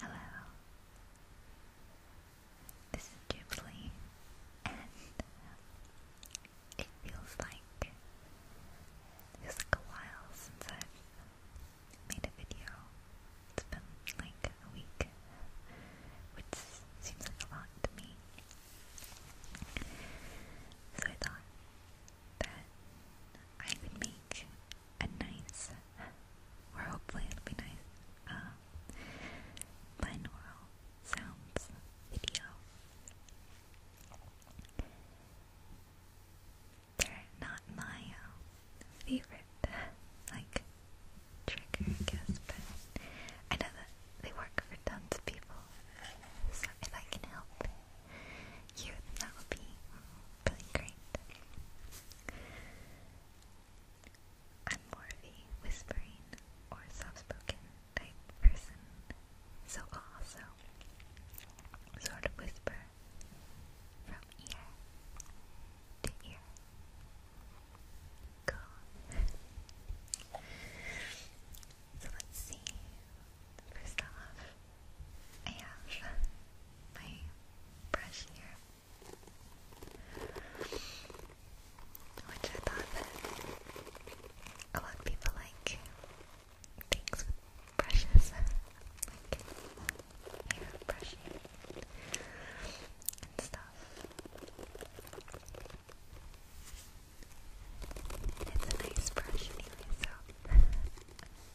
Hello, this is Ghibli, and it feels like it's like a while since I've made a video. It's been like a week, which seems like a lot to me. So I thought that I could make a nice, or hopefully it'll be nice, uh, sounds video. They're not my um, favorite, like, trigger, I guess, but I know that they work for tons of people, so if I can help you, that would be really great. I'm more whispering or soft spoken type person, so also sort of whisper from ear to ear. So let's see. First off, I have my brush here, which I thought that a lot of people like things with brushes, like hair brushing and stuff. It's a nice brush anyway, so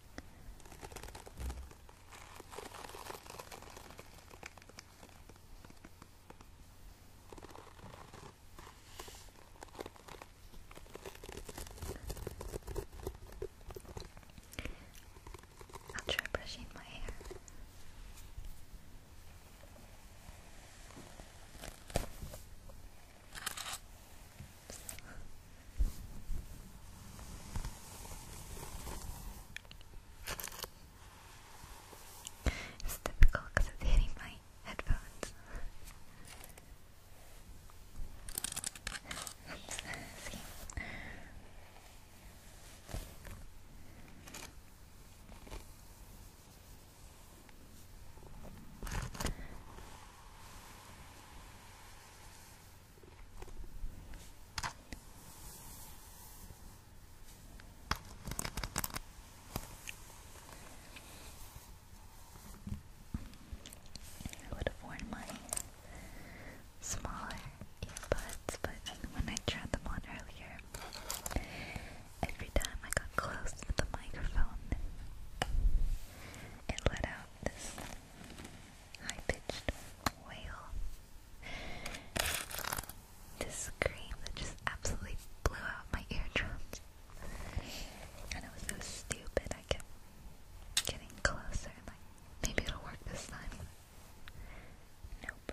i am trying brushing my hair. It's difficult because it's hitting my headphones. See? I would have worn my smaller earbuds, but when I tried them on earlier, every time I got close to the microphone, it let out this high pitched wail. This scream that just absolutely blew out my eardrums. And it was so stupid, I kept getting closer, like, maybe it'll work this time. Nope.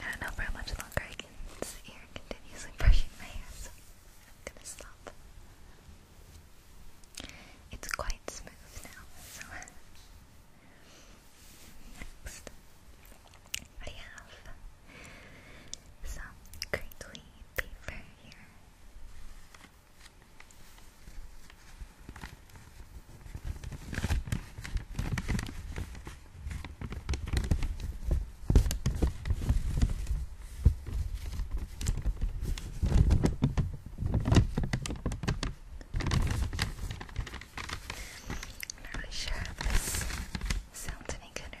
I don't know for how much longer I can sit here continuously brushing my hair, I'm gonna stop. It's quite smooth now, so next I have some crinkly paper here. not really sure this sounds any good or not.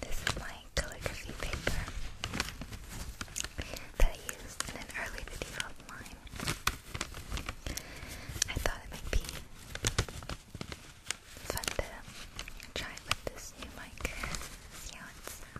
This is my calligraphy paper that I used in an early video of mine. I thought it might be fun to try with this new mic, see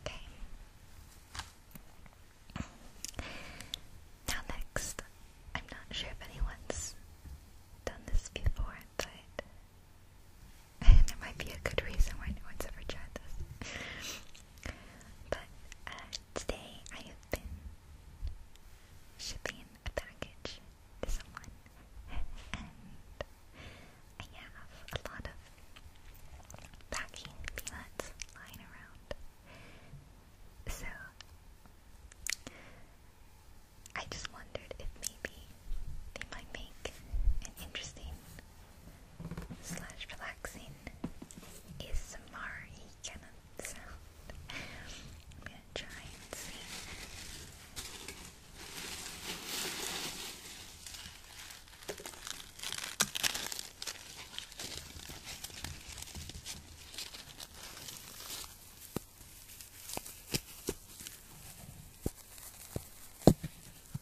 Okay. Now, next, I'm not sure if anyone's done this before, but that might be a good reason why no one's ever tried this. but uh, today I have been shipping a package to someone, and I have a lot of packing peanuts lying around. So I just wondered if maybe they might make an interesting slash relaxing ASMR kind sound. I'm gonna try and see.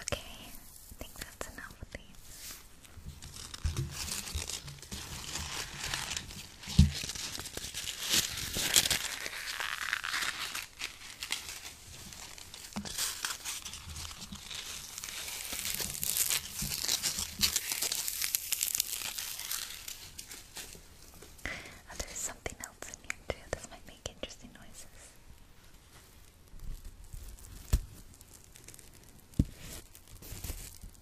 Okay, I think that's enough of Oh, there's something else in here too. This might make interesting noises.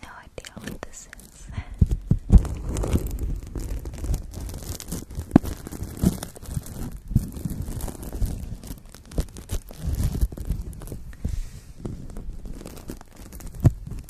No idea what this is.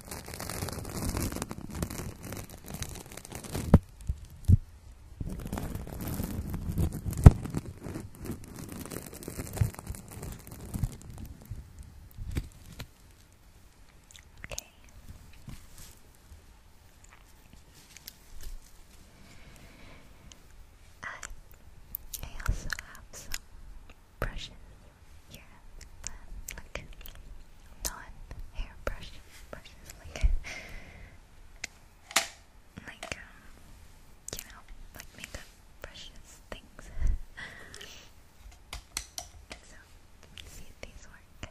Okay. I, also have some brushes. Here, um, like non-hair brush brushes, like like um, you know, like makeup brushes, things. so, let's see if these work.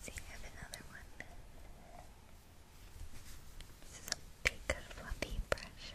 See, I have another one. This is a big fluffy brush.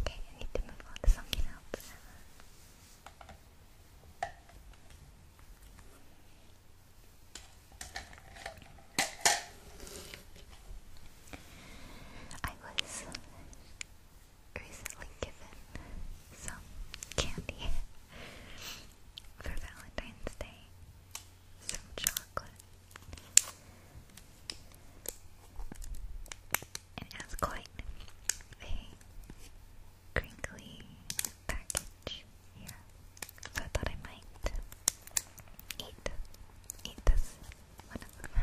Okay, I need to move on to something I was recently given some candy for Valentine's Day, some chocolate. And it has quite a crinkly package here. So I thought I might eat eat this one of them.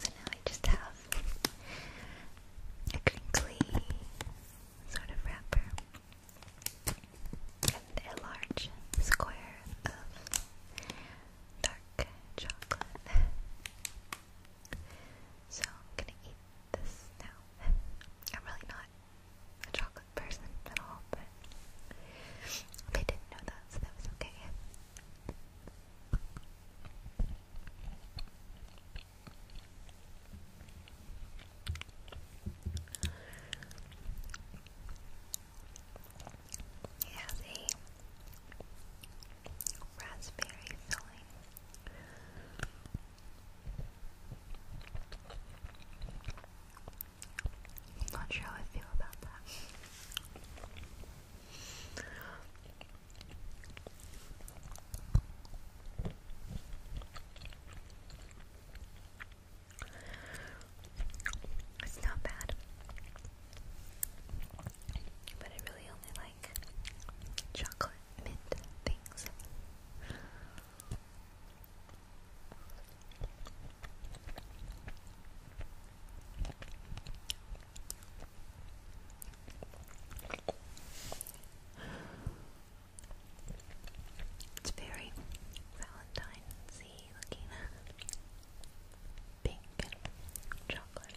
So now I just have a crinkly sort of wrapper and a large square of dark chocolate. So I'm gonna eat this now. I'm really not a chocolate person at all, but I didn't know that, so that was okay. It has a raspberry filling. not sure how I feel about that. It's not bad, but I really only like chocolate mint things. It's very Valentine's-y looking. Pink chocolate.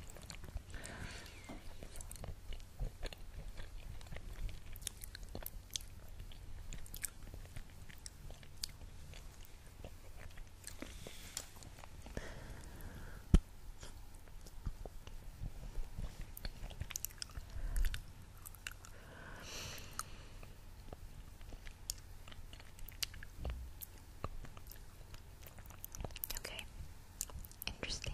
Okay, interesting.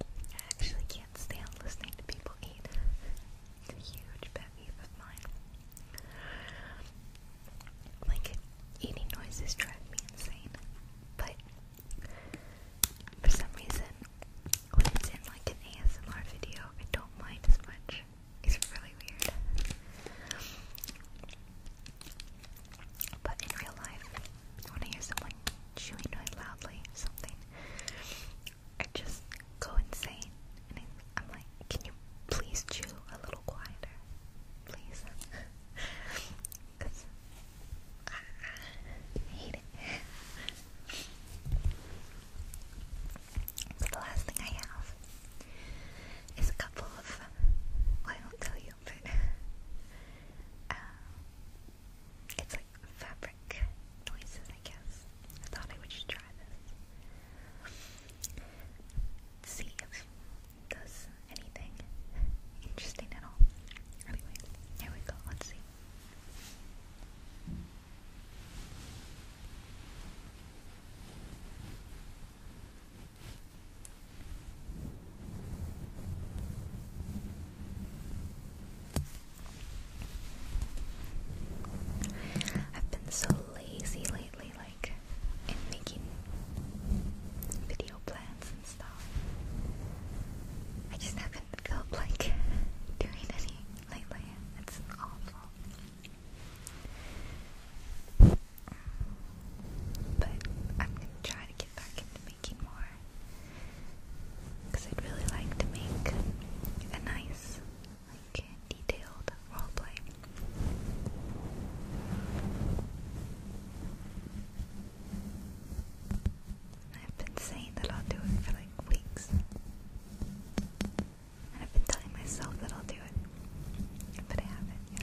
I actually can't stand listening to people eat. It's a huge pet peeve of mine. Like, eating noises drive me insane. But, for some reason, when it's in like an ASMR video, I don't mind as much. It's really weird. But in real life, when I hear someone chewing loudly or something, I just go insane. And I, am like, can you please chew a little quieter? Please. Because I, hate it. the last thing I have is a couple of, I won't tell you, but um, it's like fabric noises, I guess. I thought I would try this. See if it does anything interesting at all. Anyway, here we go. Let's see. I've been so lazy lately, like in making video plans and stuff. I just haven't felt like doing any lately. It's awful. But I'm gonna try to get back into because I'd really like to make a nice, like, detailed roleplay. I've been saying that I'll do it for like weeks. And I've been telling myself that I'll do it, but I haven't yet.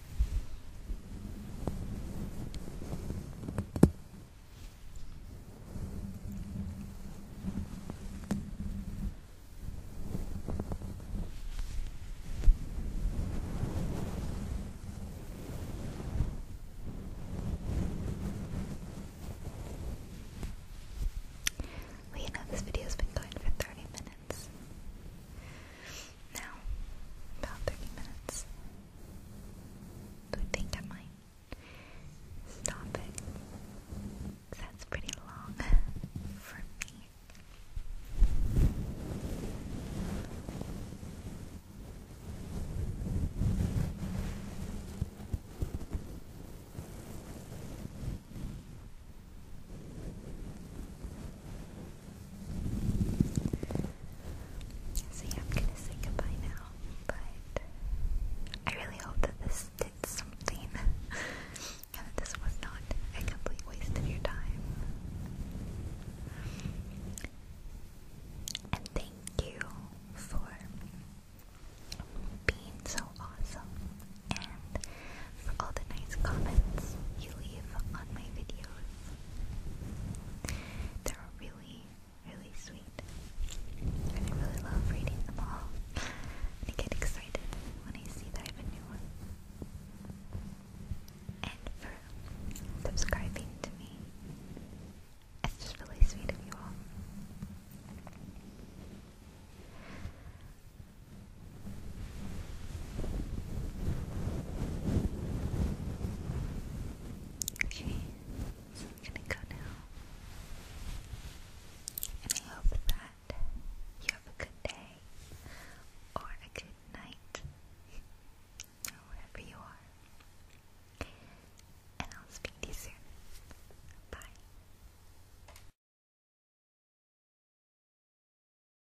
Well, you know, this video's been going for 30 minutes now, about 30 minutes. I think I might stop it. That's pretty long for me. So yeah, I'm gonna say goodbye now, but I really hope that this did something and that this was not a complete waste of your time. And thank you for being so awesome all the nice comments you leave on my videos. They're really, really sweet. And I really love reading them all. I get excited when I see that I have a new one. And for subscribing to me. It's just really sweet of you all. Okay, I'm gonna go now. And I hope that you have a good day or a good night, wherever you are. And I'll speak to you soon. Bye.